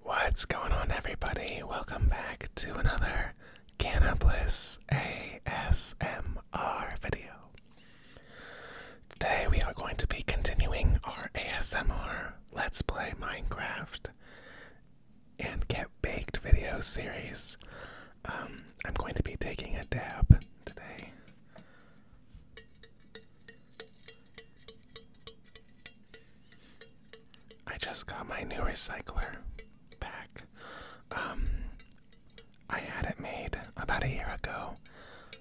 What's going on, everybody? Welcome back to another Cannabis ASMR video. Today, we are going to be continuing our ASMR Let's Play Minecraft and Get Baked video series. Um, I'm going to be taking a dab today. I just got my new recycler back. Um, I had it made about a year ago,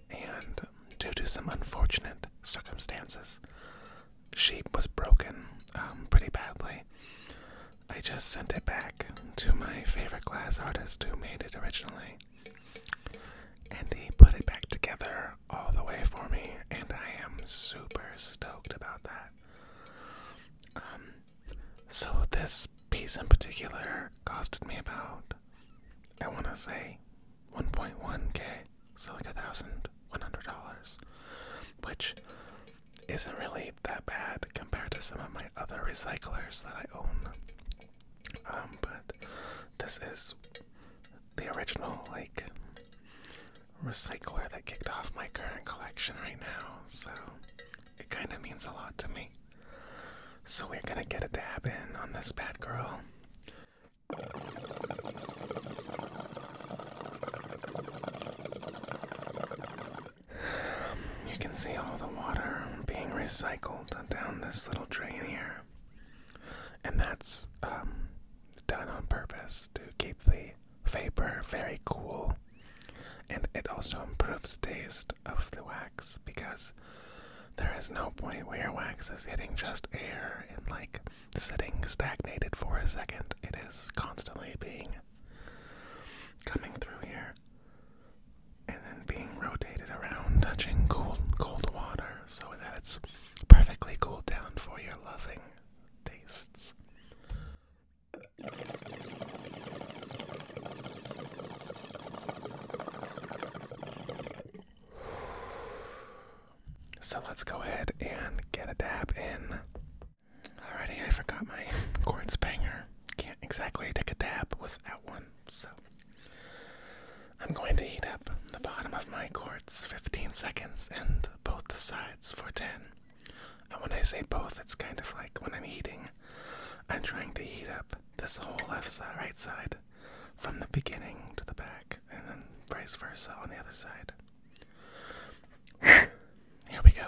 and due to some unfortunate circumstances, she was broken um, pretty badly. I just sent it back to my favorite glass artist who made it originally. And he put it back together all the way for me, and I am super stoked about that. Um, so this piece in particular costed me about, I want to say, 1.1k, so like a thousand one hundred dollars, which isn't really that bad compared to some of my other recyclers that I own. Um, but this is the original like recycler that kicked off my current collection right now, so it kind of means a lot to me. So we're gonna get a dab in on this bad girl. You can see all the water being recycled down this little drain here. And that's um, done on purpose to keep the vapor very cool. And it also improves taste of the wax because there is no point where wax is hitting just air and like sitting stagnated for a second. It is constantly being coming through here and then being rotated around, touching cold, cold water so that it's perfectly cooled down for your loving tastes. So let's go ahead and get a dab in. Alrighty, I forgot my quartz banger. Can't exactly take a dab without one. So I'm going to heat up the bottom of my quartz 15 seconds and both sides for 10. And when I say both, it's kind of like when I'm heating, I'm trying to heat up this whole left side, right side, from the beginning to the back, and then vice versa on the other side. Here we go.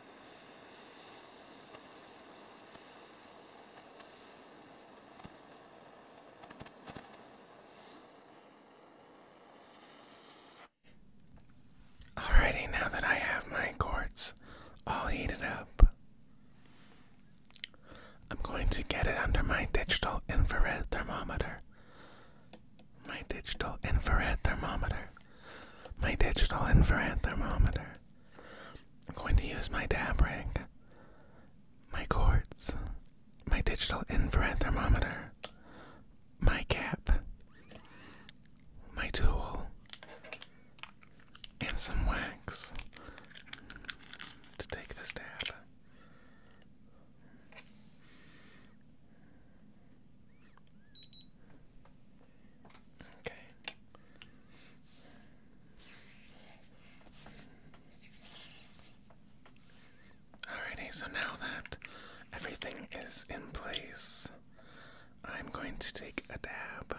Alrighty, now that I have my quartz all heated up, I'm going to get it under my digital infrared thermometer. My digital infrared thermometer. My digital infrared thermometer. I'm going to use my dab rig, my cords, my digital infrared thermometer, my cap, my tool, and some wax to take this dab. Okay. Alrighty, so now that everything is in place, I'm going to take a dab.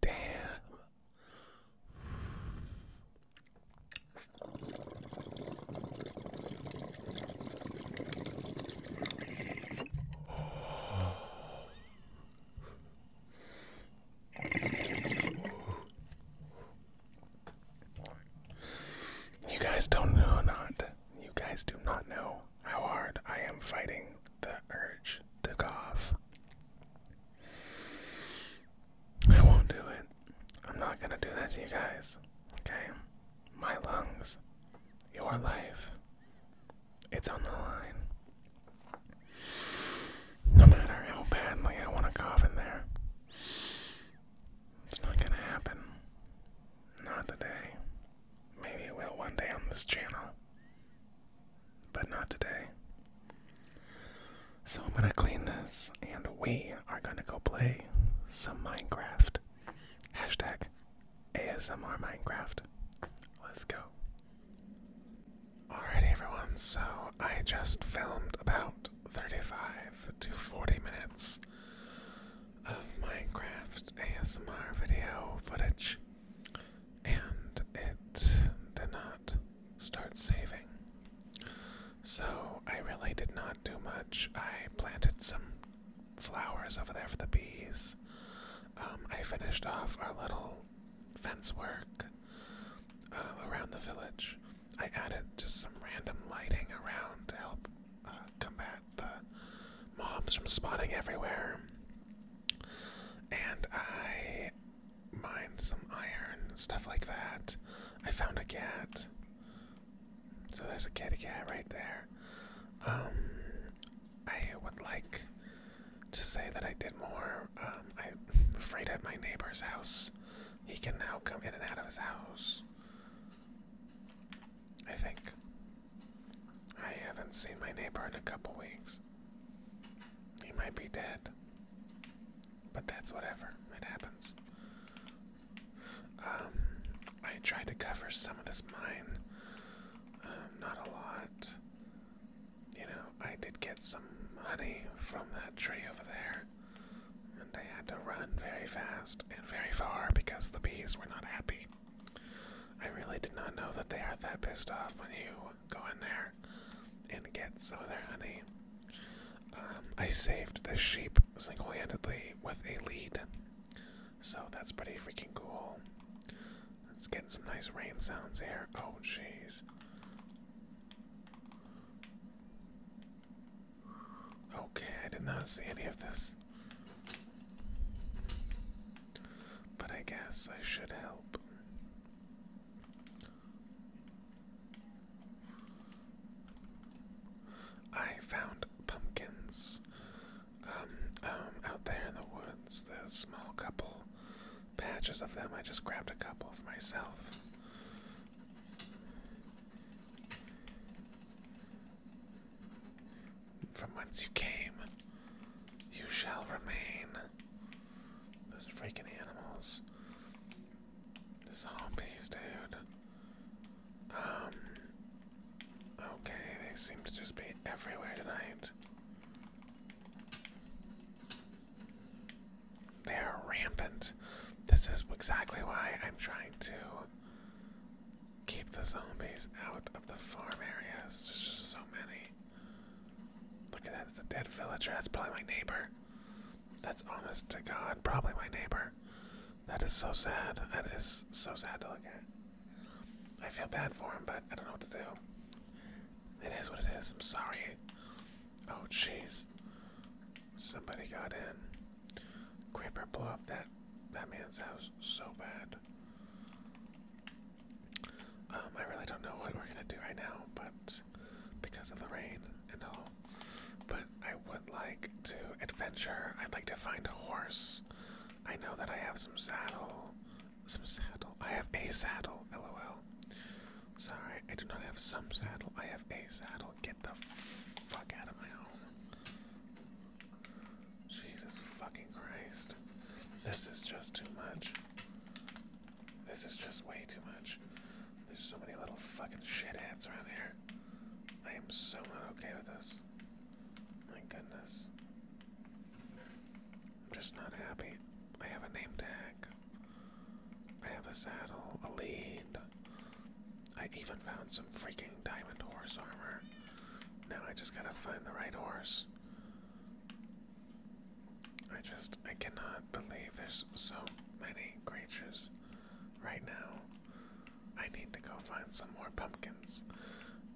Damn. You guys don't know, not you guys do not know how hard I am fighting the urge to cough. I won't do it. I'm not gonna do that to you guys. Okay? My lungs, your life, it's on the line. No matter how badly I want to cough in there, it's not gonna happen. Not today. Maybe it will one day on this channel, but not today. So I'm gonna clean this, and we are gonna go play some Minecraft. Hashtag ASMR Minecraft. Let's go. Alrighty, everyone, so I just filmed about 35 to 40 minutes of Minecraft ASMR video footage, and it did not start saving. So I really did not do much. I planted some flowers over there for the bees. Um, I finished off our little fence work uh, around the village. I added just some random lighting around to help uh, combat the uh, mobs from spotting everywhere. And I mine some iron, stuff like that. I found a cat. So there's a kitty cat right there. Um, I would like to say that I did more. I'm um, afraid at my neighbor's house, he can now come in and out of his house. I think. I haven't seen my neighbor in a couple weeks. He might be dead. But that's whatever. It happens. Um, I tried to cover some of this mine. Um, not a lot. You know, I did get some honey from that tree over there. And I had to run very fast and very far because the bees were not happy. I really did not know that they are that pissed off when you go in there and get some of their honey. Um, I saved this sheep single handedly with a lead, so that's pretty freaking cool. It's getting some nice rain sounds here. Oh, jeez. Okay, I did not see any of this. But I guess I should help. I found pumpkins um, um, out there in the woods. There's small couple patches of them. I just grabbed a couple for myself. From whence you came, you shall remain. Those freaking animals. The zombies, dude. Um. Okay, they seem to just be everywhere tonight. They are rampant. This is exactly why I'm trying to Keep the zombies out of the farm areas. There's just so many. Look at that, it's a dead villager. That's probably my neighbor. That's honest to God, probably my neighbor. That is so sad. That is so sad to look at. I feel bad for him, but I don't know what to do. It is what it is. I'm sorry. Oh, jeez. Somebody got in. Creeper blow up that that man's house so bad. Um, I really don't know what we're gonna do right now, but because of the rain and all. But I would like to adventure. I'd like to find a horse. I know that I have some saddle. Some saddle. I have a saddle, lol. Sorry, I do not have some saddle. I have a saddle. Get the fuck out of my home. Jesus fucking Christ. This is just too much. This is just way too much. There's so many little fucking shitheads around here. I am so not okay with this. My goodness. I'm just not happy. I have a name tag. I have a saddle, a lead. I even found some freaking diamond horse armor. Now I just gotta find the right horse. I just, I cannot believe there's so many creatures right now. I need to go find some more pumpkins.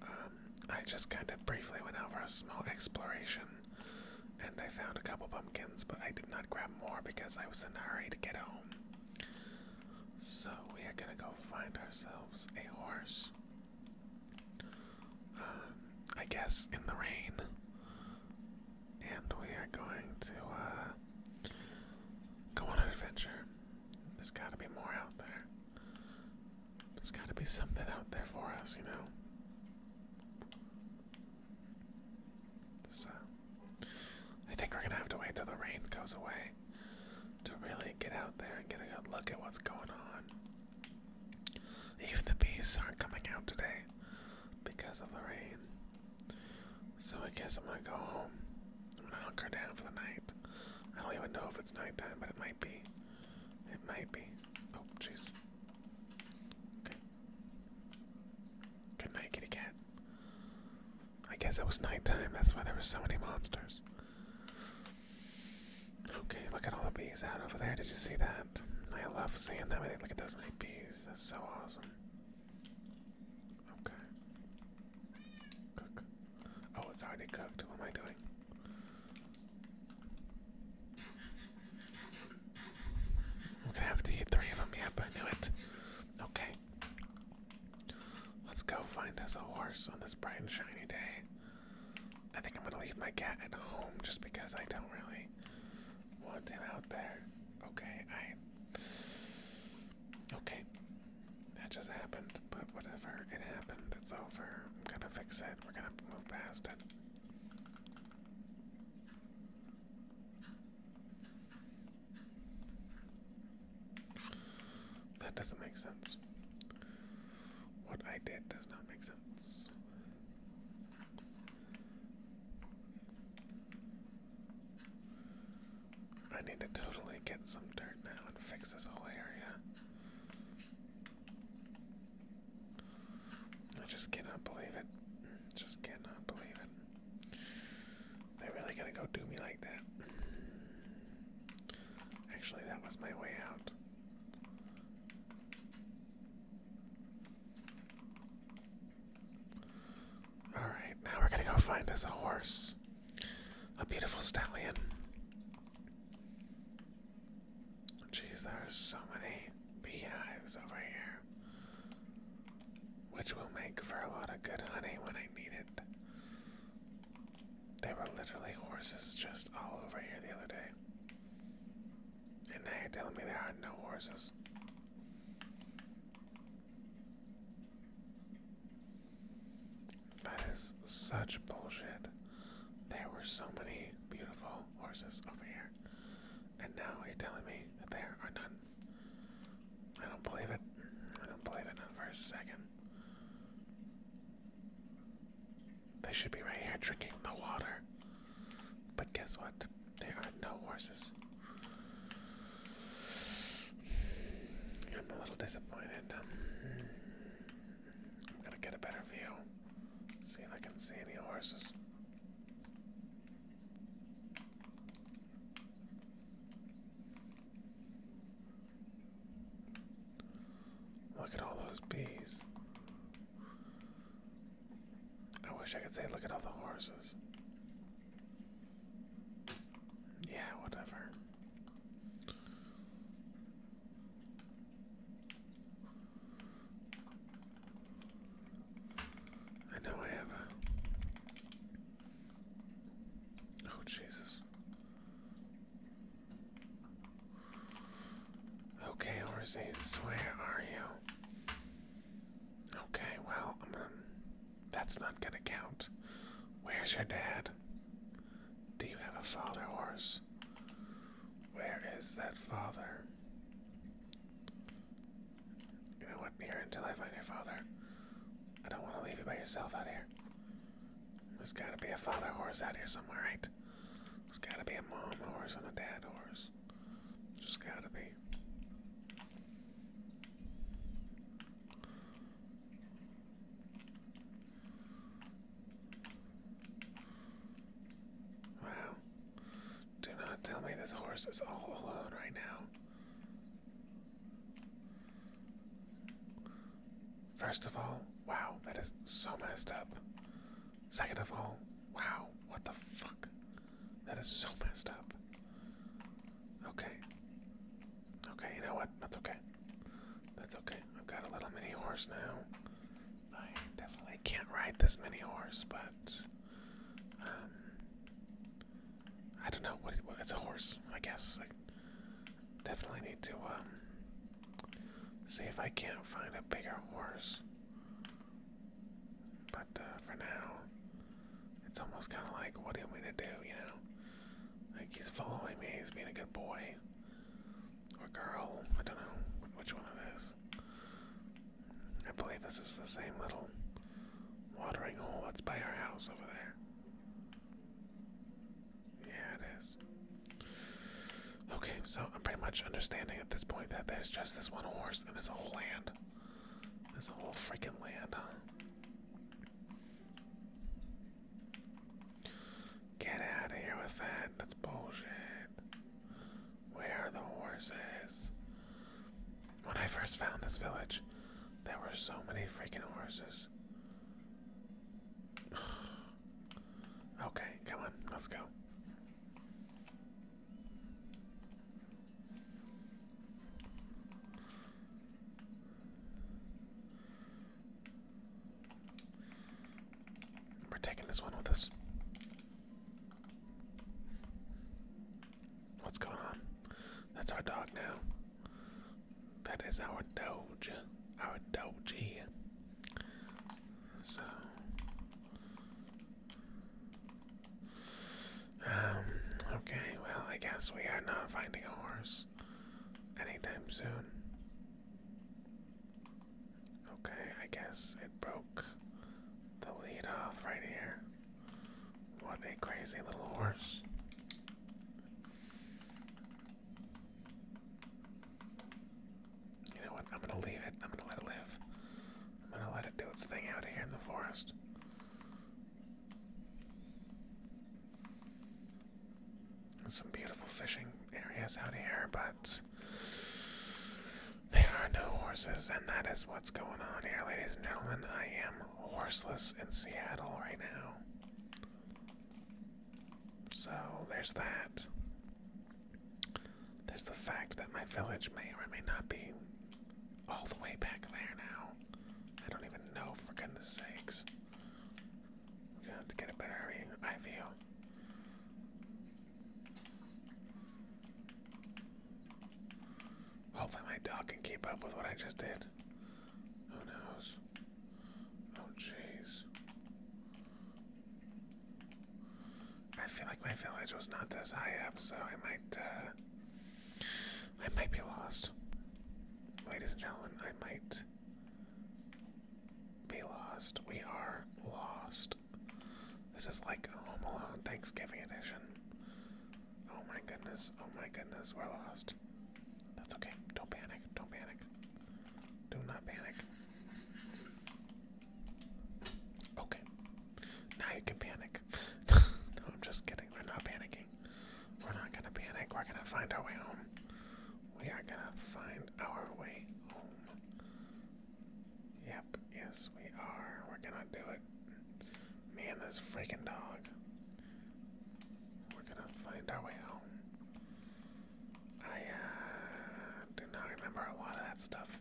Um, I just kind of briefly went over a small exploration and I found a couple pumpkins, but I did not grab more because I was in a hurry to get home. So we are gonna go find ourselves a horse. Um, I guess in the rain. And we are going to uh, go on an adventure. There's gotta be more out there. There's gotta be something out there for us, you know? So, I think we're gonna have to wait till the rain goes away to really get out there and get a good look at what's going on. Even the bees aren't coming out today because of the rain. So I guess I'm gonna go home. I'm gonna hunker down for the night. I don't even know if it's nighttime, but it might be. It might be. Oh, jeez. Okay. Good night, kitty cat. I guess it was nighttime, that's why there were so many monsters. Okay, look at all the bees out over there. Did you see that? I love seeing them. I think look at those many bees. That's so awesome. Okay. Cook. Oh, it's already cooked. What am I doing? I'm gonna have to eat three of them. Yep, I knew it. Okay. Let's go find us a horse on this bright and shiny day. I think I'm gonna leave my cat at home just because I don't really want him out there. Okay, I. Okay. That just happened, but whatever. It happened. It's over. We're gonna fix it. We're gonna move past it. That doesn't make sense. What I did does not make sense. I need to totally get some dirt now and fix this whole area. I just cannot believe it. Just cannot believe it. They really gonna go do me like that? Actually, that was my way out. Alright, now we're gonna go find us a horse. A beautiful stallion. Jeez, there's so many beehives over here. Which will make for a lot of good honey when I need it. They were literally horses just all over here the other day. And now you're telling me there are no horses. That is such bullshit. There were so many beautiful horses over here. And now you're telling me that there are none. I don't believe it. I don't believe it, for a second. They should be right here drinking the water. But guess what? There are no horses. I'm a little disappointed. Um, I'm gonna get a better view. See if I can see any horses. Look at all those bees. I wish I could say, look at all the horses. Yeah, whatever. I know I have a. Oh, Jesus. Okay, Orzes, where are you? Okay, well, um, that's not gonna count. Where's your dad? Do you have a father, Horse? Where is that father? You know what? Here until I find your father. I don't want to leave you by yourself out here. There's gotta be a father horse out here somewhere, right? There's gotta be a mom horse and a dad horse. Just gotta be. Wow. Do not tell me this horse is all alone right now. First of all, wow, that is so messed up. Second of all, wow, what the fuck? That is so messed up. Okay. Okay, you know what? That's okay. That's okay. I've got a little mini horse now. I definitely can't ride this mini horse, but um, I don't know what, what it's a horse, I guess. I definitely need to um, see if I can't find a bigger horse. But uh, for now, it's almost kind of like, what do you want me to do? You know, like he's following me. He's being a good boy or girl. I don't know which one it is. I believe this is the same little watering hole that's by our house over there. Yeah, it is. Okay, so I'm pretty much understanding at this point that there's just this one horse and this whole land. This whole freaking land, huh? Get out of here with that. That's bullshit. Where are the horses? When I first found this village, there were so many freaking horses. Okay, come on, let's go. We're taking this one with us. What's going on? That's our dog now. That is our doge. Our dogey. So um, okay, well I guess we are not finding a horse anytime soon. Okay, I guess it broke the lead off right here. What a crazy little horse. You know what? I'm gonna leave it. I'm gonna let it live. I'm gonna let it do its thing out here in the forest. There's some beautiful fishing areas out here, but there are no horses, and that is what's going on here, ladies and gentlemen. I am horseless in Seattle right now. So there's that. There's the fact that my village may or may not be all the way back there now. I don't even know, for goodness sakes. We're gonna have to get a better eye view. Hopefully, my dog can keep up with what I just did. Who knows? Oh, jeez. I feel like my village was not this high up, so I might, uh, I might be lost. Ladies and gentlemen, I might be lost. We are lost. This is like Home Alone Thanksgiving edition. Oh my goodness, oh my goodness, we're lost. That's okay. Don't panic. Don't panic. Do not panic. Okay. Now you can panic. I'm just kidding. We're not panicking. We're not gonna panic. We're gonna find our way home. We are gonna find our way home. Yep, yes, we are. We're gonna do it. Man, this freaking dog. We're gonna find our way home. I uh, do not remember a lot of that stuff.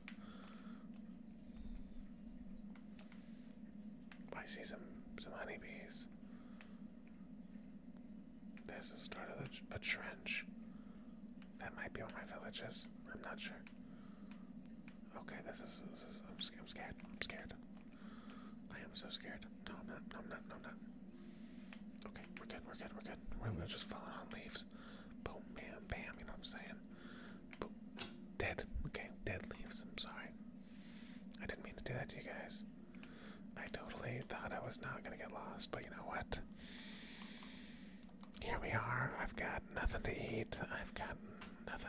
I see some some honeybees. There's the start of a trench. That might be where my village is. I'm not sure. Okay, this is. This is I'm, I'm scared. I'm scared. I am so scared. No, I'm not. No, I'm not. No, I'm not. Okay, we're good. We're good. We're good. We're just falling on leaves. Boom, bam, bam. You know what I'm saying? Boom. Dead. Okay, dead leaves. I'm sorry. I didn't mean to do that to you guys. I totally thought I was not gonna get lost, but you know what? Here we are. I've got nothing to eat. I've got nothing.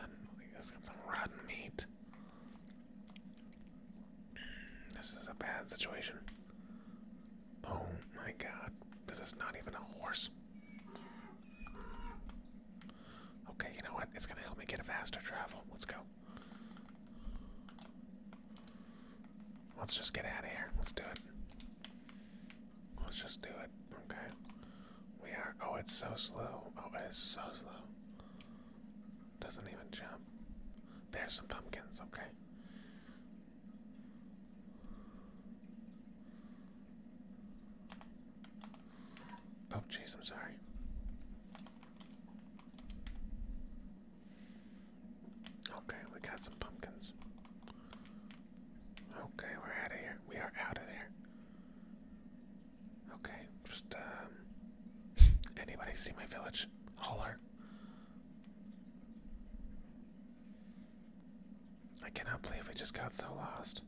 I've got some rotten meat. This is a bad situation. Oh my god, this is not even a horse. Okay, you know what? It's gonna help me get a faster travel. Let's go. Let's just get out of here. Let's do it. Let's just do it. Okay. We are. Oh, it's so slow. Oh, it is so slow. Doesn't even jump. There's some pumpkins, okay. Oh, jeez, I'm sorry. Okay, we got some pumpkins. Okay, we're out of here. We are out of here. Okay, just um, anybody see my village? Holler. I cannot believe we just got so lost.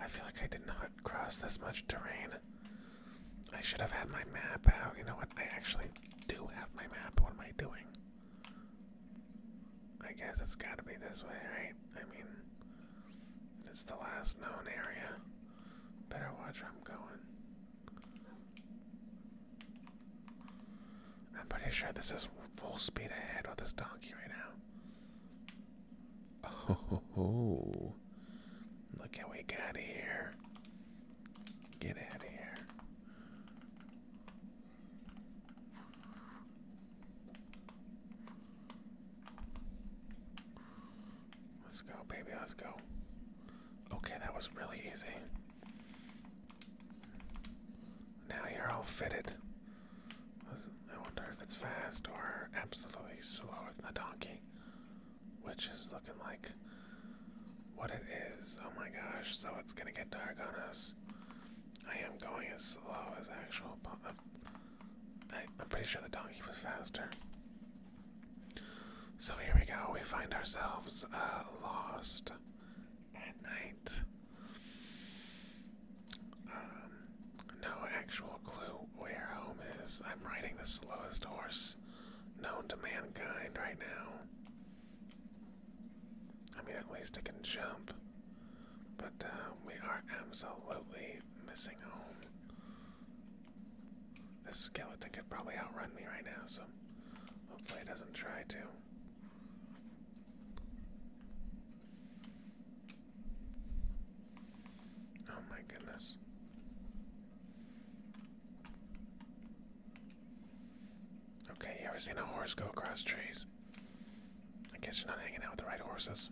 I feel like I did not cross this much terrain. I should have had my map out. You know what? I actually do have my map. What am I doing? I guess it's gotta be this way, right? I mean, it's the last known area. Better watch where I'm going. I'm pretty sure this is full speed ahead with this donkey right now. Oh, look at we got here. Get out of here. Let's go, baby, let's go. Okay, that was really easy. Now you're all fitted. I wonder if it's fast or absolutely slower than the donkey, which is looking like what it is. Oh my gosh, so it's gonna get dark on us. I am going as slow as actual. Uh, I, I'm pretty sure the donkey was faster. So here we go. We find ourselves uh, lost at night. Um, no actual clue where home is. I'm riding the slowest horse known to mankind right now. I mean, at least it can jump. But uh, we are absolutely missing home. This skeleton could probably outrun me right now, so hopefully it doesn't try to. Oh my goodness. Okay, you ever seen a horse go across trees? I guess you're not hanging out with the right horses.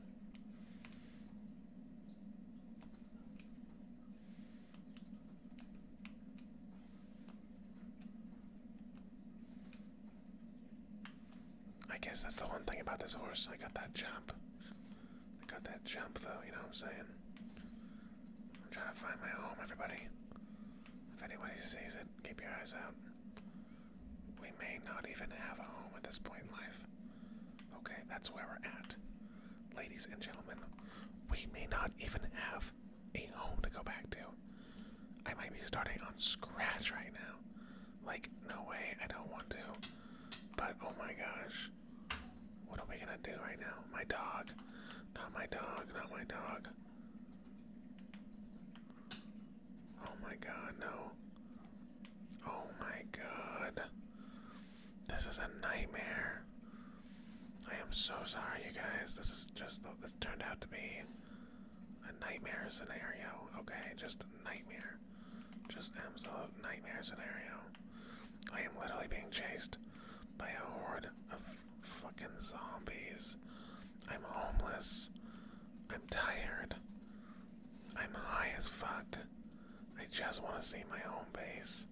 I guess that's the one thing about this horse. I got that jump. I got that jump, though, you know what I'm saying? I'm trying to find my home, everybody. If anybody sees it, keep your eyes out. We may not even have a home at this point in life. Okay, that's where we're at. Ladies and gentlemen, we may not even have a home to go back to. I might be starting on scratch right now. Like, no way, I don't want to. But oh my gosh. What are we gonna do right now? My dog. Not my dog, not my dog. Oh my god, no. Oh my god. This is a nightmare. I am so sorry, you guys. This is just, this turned out to be a nightmare scenario, okay? Just a nightmare. Just absolute nightmare scenario. I am literally being chased by a horde of fucking zombies. I'm homeless. I'm tired. I'm high as fuck. I just want to see my home base.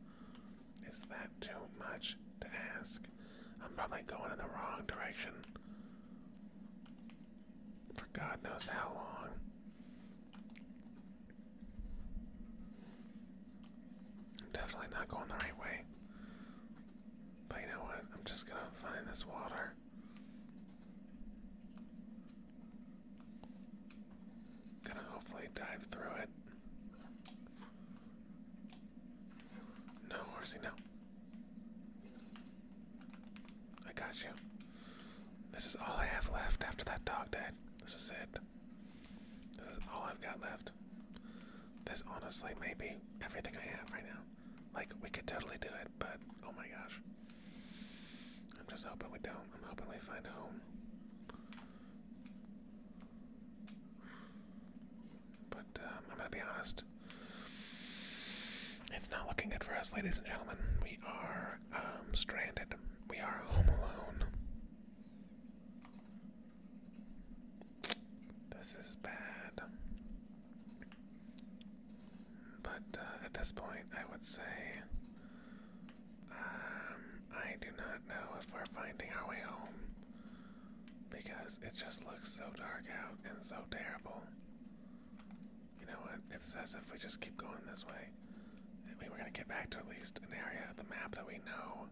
Is that too much to ask? I'm probably going in the wrong direction. God knows how long. I'm definitely not going the right way. But you know what? I'm just gonna find this water. Gonna hopefully dive through it. No, where's he no? I got you. This is all I have left after that dog died. This is it. This is all I've got left. This honestly may be everything I have right now. Like, we could totally do it, but oh my gosh. I'm just hoping we don't. I'm hoping we find a home. But um, I'm going to be honest. It's not looking good for us, ladies and gentlemen. We are um, stranded. We are home alone. This is bad. But uh, at this point, I would say um, I do not know if we're finding our way home because it just looks so dark out and so terrible. You know what? It's as if we just keep going this way. We are gonna get back to at least an area of the map that we know.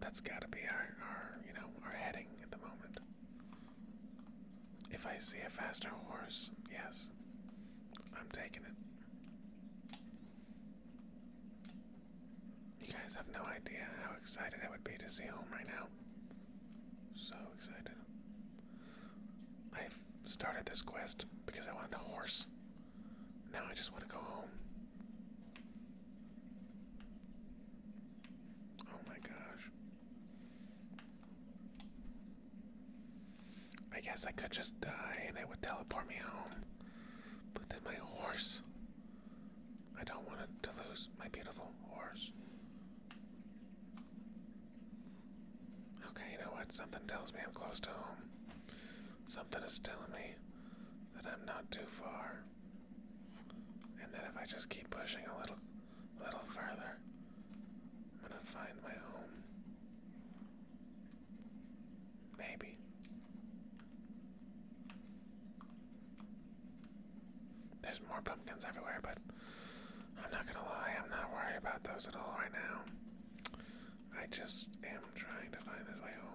That's gotta be our, our you know, our heading at the moment. If I see a faster horse, yes, I'm taking it. You guys have no idea how excited I would be to see home right now. So excited. i started this quest because I wanted a horse. Now I just want to go home. Oh my gosh. I guess I could just die and it would teleport me home. But then my horse. I don't want to lose my beautiful horse. Okay, you know what? Something tells me I'm close to home. Something is telling me that I'm not too far. And that if I just keep pushing a little little further, I'm gonna find my home. Maybe. There's more pumpkins everywhere, but I'm not gonna lie, I'm not worried about those at all right now. I just am trying to find this way home.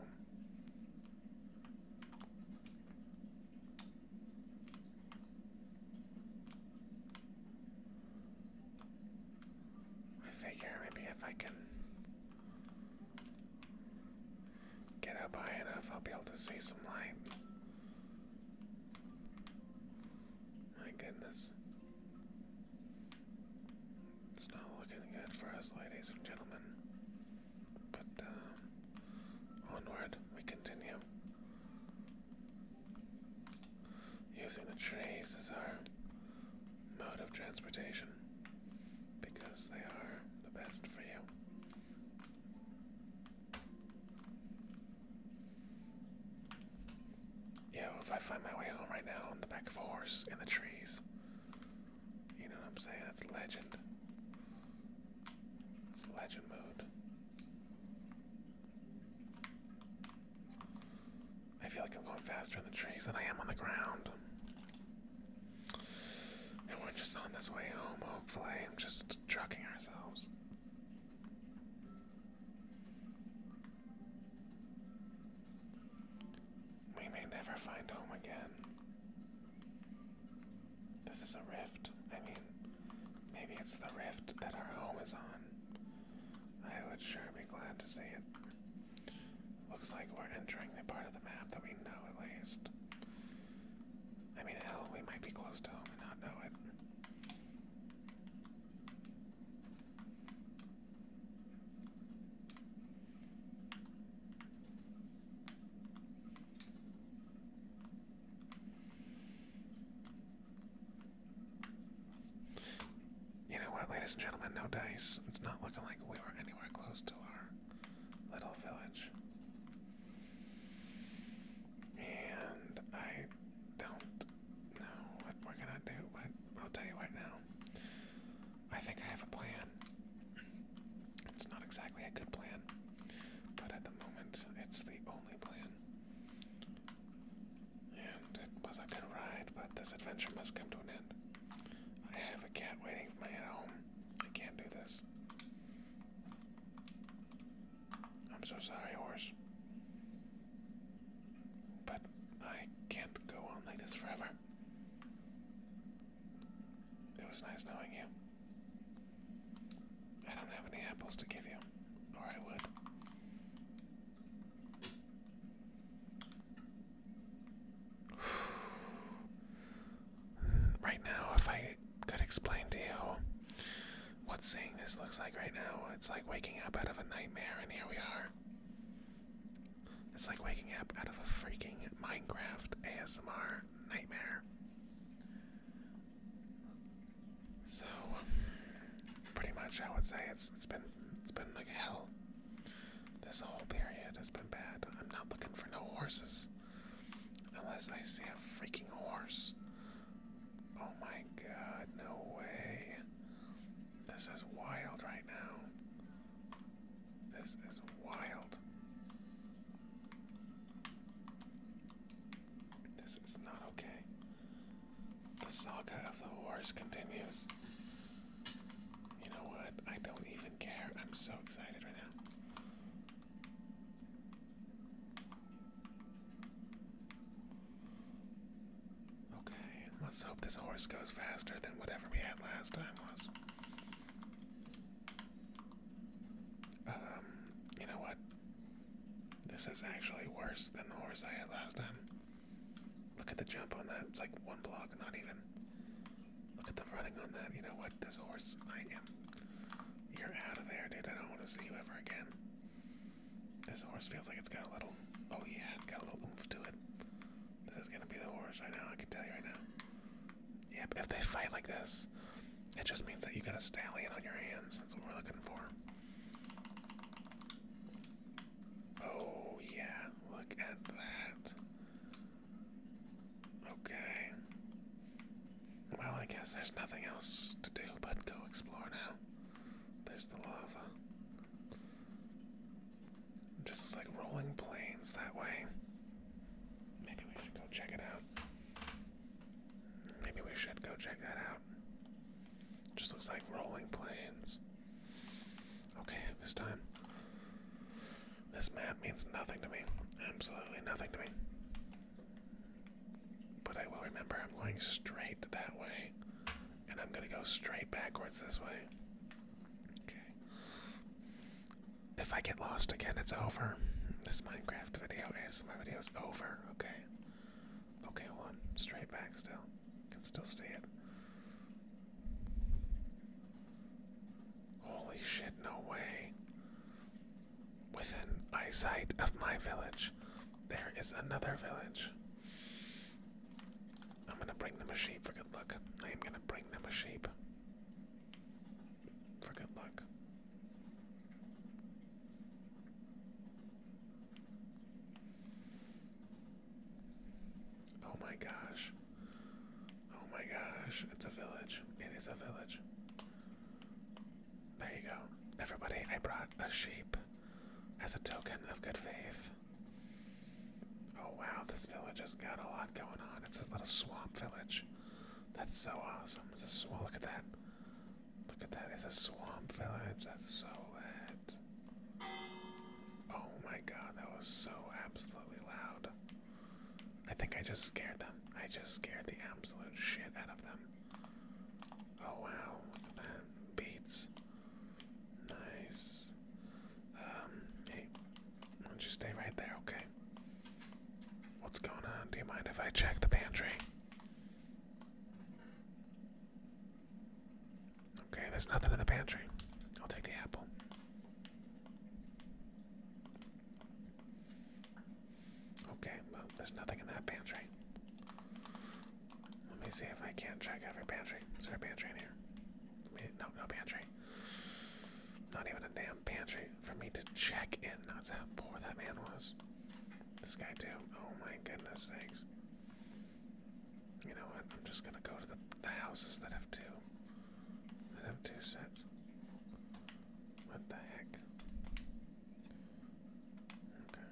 I figure maybe if I can get up high enough, I'll be able to see some light. My goodness. It's not looking good for us, ladies and gentlemen. But, uh, onward we continue. Using the trees as our mode of transportation because they are the best for you. Yeah, if I find my way home right now on the back of a horse in the trees, you know what I'm saying? That's legend. It's legend mode. I feel like I'm going faster in the trees than I am on the ground. And we're just on this way home, hopefully. I'm just trucking ourselves. We may never find home again. This is a rift. I mean, maybe it's the rift that our home is on. I would sure be glad to see it. Looks like we're entering the part of the map that we know at least. I mean, hell, we might be close to home and not know it. You know what, ladies and gentlemen, no dice. It's not looking like we were anywhere close to our little village. And I don't know what we're gonna do, but I'll tell you what now. I think I have a plan. It's not exactly a good plan, but at the moment, it's the only plan. And it was a good ride, but this adventure must come to an end. I have a cat waiting for my head home. I can't do this. I'm so sorry, horse. But I can't go on like this forever. It was nice knowing you. I don't have any apples to give you, or I would. right now, if I could explain to you what seeing this looks like right now, it's like waking up out of a nightmare, and here we are. It's like waking up out of a freaking Minecraft ASMR nightmare. So, pretty much, I would say it's it's been it's been like hell. This whole period has been bad. I'm not looking for no horses. Unless I see a freaking horse. Oh my god, no way. This is wild right now. This is wild. This is not okay. The saga of the horse continues. You know what? I don't even care. I'm so excited right now. Okay, let's hope this horse goes faster than whatever we had last time was. Um, you know what? This is actually worse than the horse I had last time. Look at the jump on that. It's like one block, not even. Look at them running on that. You know what? This horse, I am. You're out of there, dude. I don't want to see you ever again. This horse feels like it's got a little. Oh, yeah, it's got a little oomph to it. This is going to be the horse right now. I can tell you right now. Yeah, but if they fight like this, it just means that you got a stallion on your hands. That's what we're looking for. Oh, yeah, look at that. Okay. Well, I guess there's nothing else to do but go explore now. There's the lava. just looks like rolling plains that way. Maybe we should go check it out. Maybe we should go check that out. just looks like rolling plains. Okay, this time. This map means nothing to me. Absolutely nothing to me. But I will remember I'm going straight that way. And I'm gonna go straight backwards this way. Okay. If I get lost again, it's over. This Minecraft video is my video is over. Okay. Okay, One Straight back still. Can still see it. Holy shit, no way. Within eyesight of my village, there is another village. I'm gonna bring them a sheep for good luck. I am gonna bring them a sheep for good luck. Oh my gosh. Oh my gosh. It's a village. It is a village. There you go. Everybody, I brought a sheep as a token of good faith. Oh wow, this village has got a lot going on. It's a little swamp village. That's so awesome. It's a swamp. Look at that. Look at that. It's a swamp village. That's so lit. Oh my god, that was so absolutely loud. I think I just scared them. I just scared the absolute shit out of them. Oh wow, look at that. Beats. Nice. Um, hey, why don't you stay right there, okay? What's going on? Do you mind if I check the pantry? Okay, there's nothing in the pantry. I'll take the apple. Okay, well, there's nothing in that pantry. Let me see if I can't check every pantry. Is there a pantry in here? no, no pantry. Not even a damn pantry for me to check in. That's how poor that man was. This guy, too. Oh my goodness sakes. You know what? I'm just gonna go to the, the houses that have two. That have two sets. What the heck? Okay.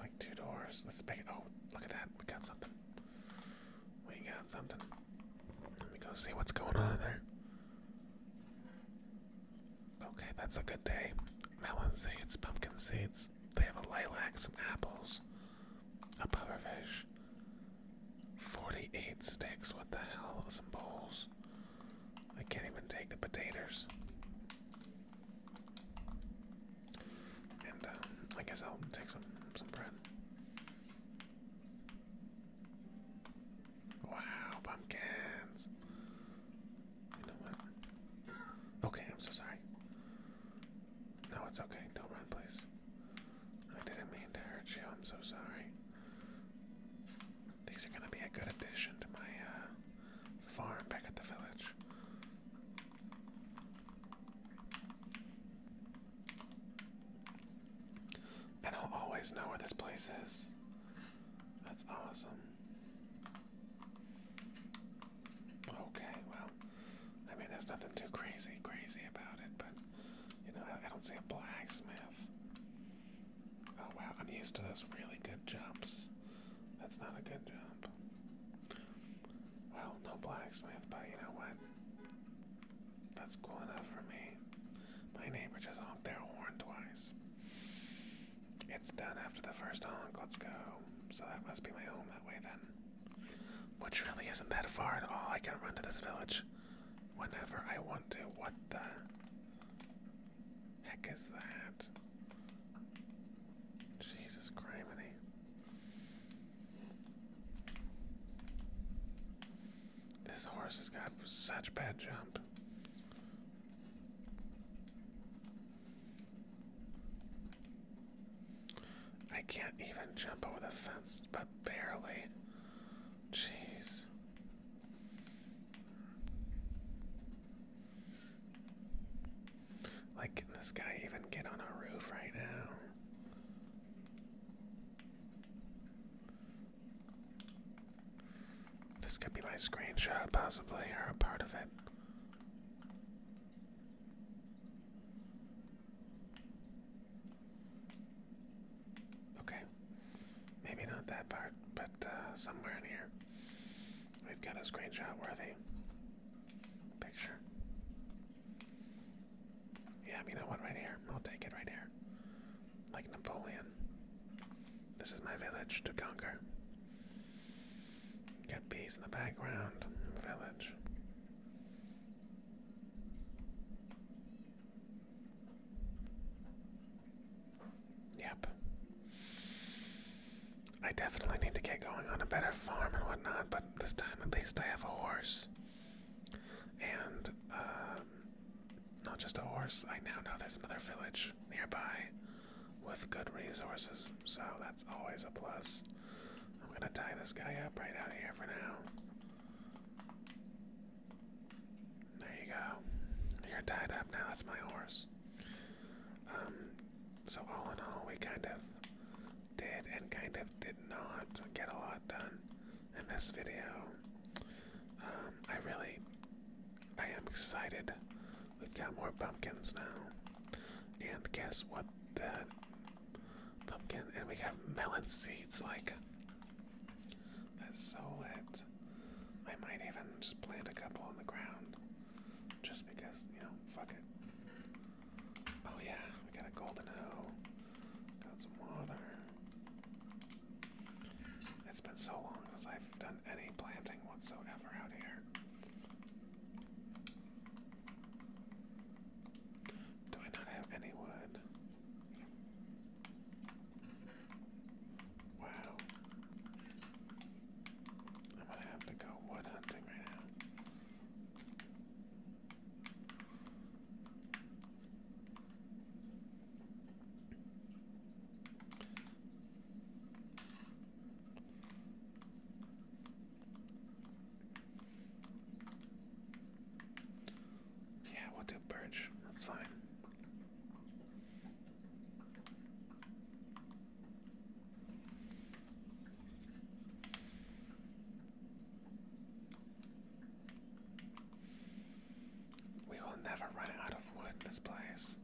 Like two doors. Let's make it. Oh, look at that. We got something. We got something. Let me go see what's going on in there. Okay, that's a good day. Melon seeds, pumpkin seeds. They have a lilac, some apples, a pufferfish, 48 sticks. What the hell? Some bowls. I can't even take the potatoes. And um, I guess I'll take some some bread. Wow, pumpkins. You know what? Okay, I'm so sorry. No, it's okay. Don't run, please. I didn't mean to hurt you. I'm so sorry. These are gonna be a good addition to my uh, farm back at the village. And I'll always know where this place is. That's awesome. Okay, well, I mean, there's nothing too crazy, crazy about it, but you know, I, don't see a blacksmith. Oh wow, I'm used to those really good jumps. That's not a good jump. Well, no blacksmith, but you know what? That's cool enough for me. My neighbor just honked their horn twice. It's done after the first honk. Let's go. So that must be my home that way then. Which really isn't that far at all. I can run to this village whenever I want to. What the heck is that? Jesus criminy. This horse has got such bad jumps. I can't even jump over the fence, but barely. Jeez. Like, can this guy even get on a roof right now? This could be my screenshot, possibly, or a part of it. Okay. Maybe not that part, but uh, somewhere in here. We've got a screenshot worthy picture. Yeah, you know what, right here. I'll take it right here. Like Napoleon. This is my village to conquer. Got bees in the background, village. Yep. I definitely need to get going on a better farm and whatnot, but this time at least I have a horse. And, um, not just a horse, I now know there's another village nearby with good resources, so that's always a plus. I'm gonna tie this guy up right out here for now. There you go. You're tied up now, that's my horse. Um, so, all in all, we kind of did and kind of did not get a lot done in this video. Um, I really I am excited. We've got more pumpkins now. And guess what? That pumpkin, and we have melon seeds. Like, that's so lit. I might even just plant a couple on the ground. Just because, you know, fuck it. Oh yeah, we got a golden hoe. Got some water. It's been so long since I've done any planting whatsoever out here. Do I not have any wood? Wow. I'm gonna have to go wood hunting right now. Yeah, we'll do birch. That's fine. We will never run out of wood in this place.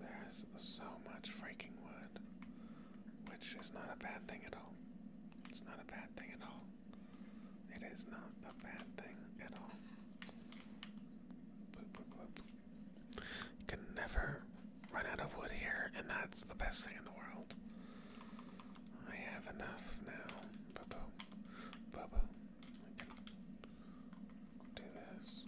There's so much freaking wood. Which is not a bad thing at all. It's not a bad thing at all. It is not a bad thing at all. Boop, boop, boop. You can never run out of wood here, and that's the best thing in the world. I have enough now. Boo boo. Boo I do this.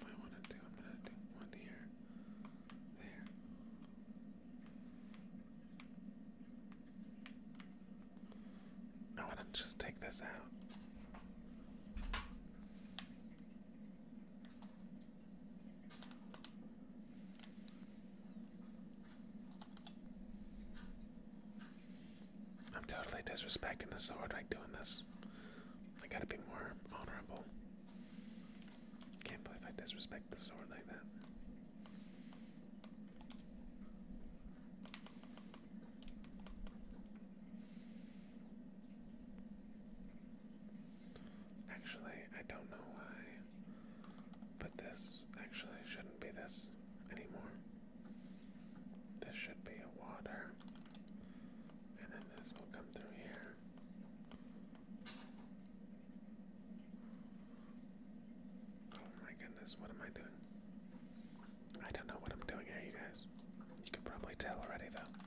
I want to do, I'm going to do one here, there. I want to just take this out. I'm totally disrespecting the sword like doing this. I gotta be more honorable. Can't believe I disrespect the sword like that. Actually, I don't know why, but this actually shouldn't be this anymore. This should be a water, and then this will come through here. Oh my goodness, what am I doing? I don't know what I'm doing here, you guys. You can probably tell already, though.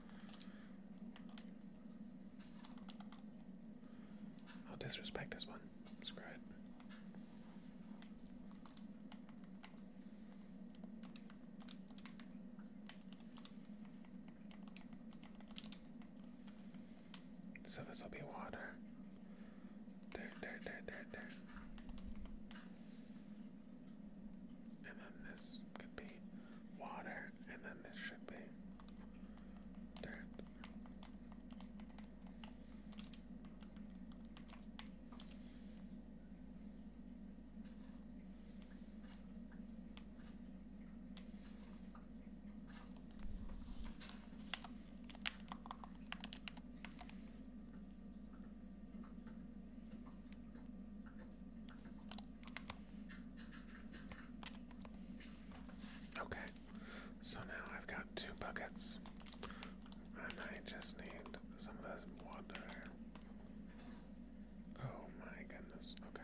I'll disrespect this one. Screw it. So this will be water. And then this could be water, and then this should be dirt. Okay, so now I've got two buckets, and I just need some of this water. Oh my goodness, okay.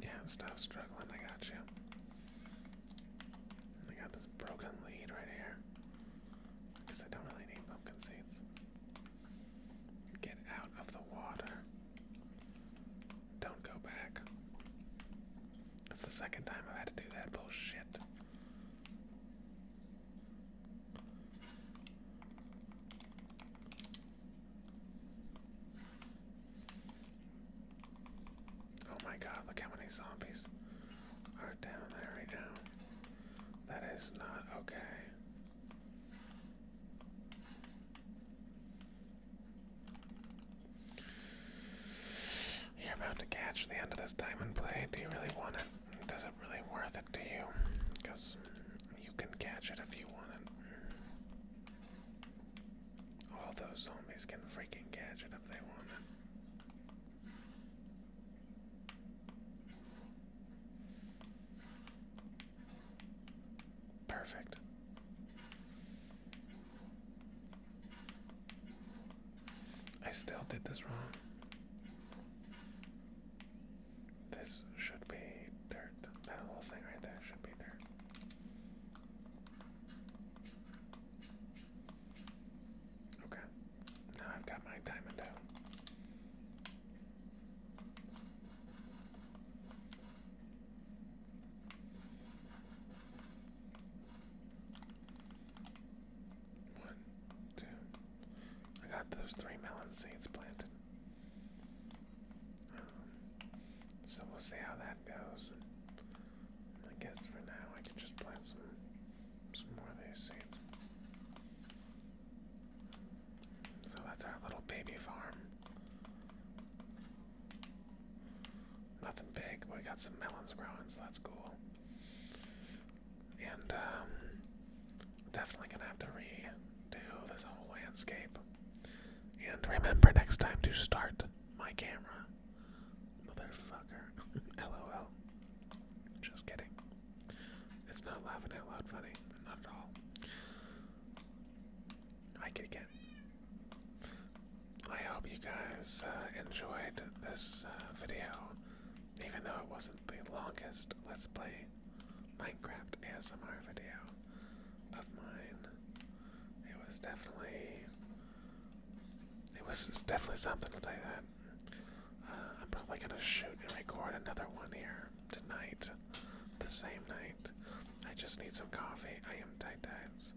Yeah, stop struggling. I got you. I got this broken lead right here. Because I don't really need pumpkin seeds. Get out of the water. Don't go back. That's the second time I've had to do that bullshit. Oh my god, look how many zombies are down there right now. That is not okay. You're about to catch the end of this diamond blade. Do you really want it? Does it really worth it to you? Because you can catch it if you want it. All those zombies can freaking catch it if they want it. Perfect. I still did this wrong. This should be dirt. That whole thing right there should be dirt. Okay. Now I've got my diamond out. One, two. I got those three melon seeds planted. Um, so we'll see how that goes. I guess for now I can just plant some some more of these seeds. So that's our little baby farm. Nothing big. but We got some melons growing, so that's cool. And um, definitely gonna have to redo this whole landscape. And remember next time to start my camera. Motherfucker. LOL. Just kidding. It's not laughing out loud funny. Not at all. I get it. I hope you guys uh, enjoyed this uh, video, even though it wasn't the longest Let's Play Minecraft ASMR video of mine. It was definitely, it was definitely something to tell that. Uh, I'm probably gonna shoot and record another one here tonight, the same night. I just need some coffee. I am tight dies.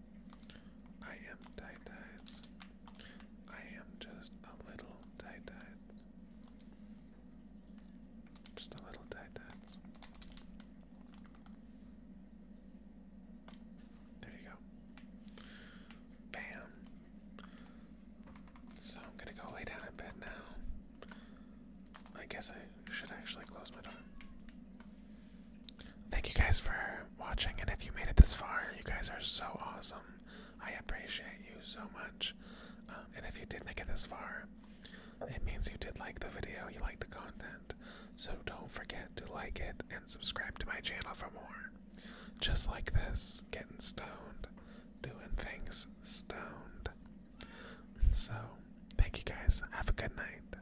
I am tight dies. I am just a little tight eyed. Just a little tight eyed. There you go. Bam. So I'm gonna go lay down in bed now. I guess I should actually close my door. Thank you guys for watching, and if you made it this far, you guys are so awesome. I appreciate you so much. Um, and if you did make it this far, it means you did like the video, you like the content. So don't forget to like it and subscribe to my channel for more. Just like this, getting stoned, doing things stoned. So, thank you guys. Have a good night.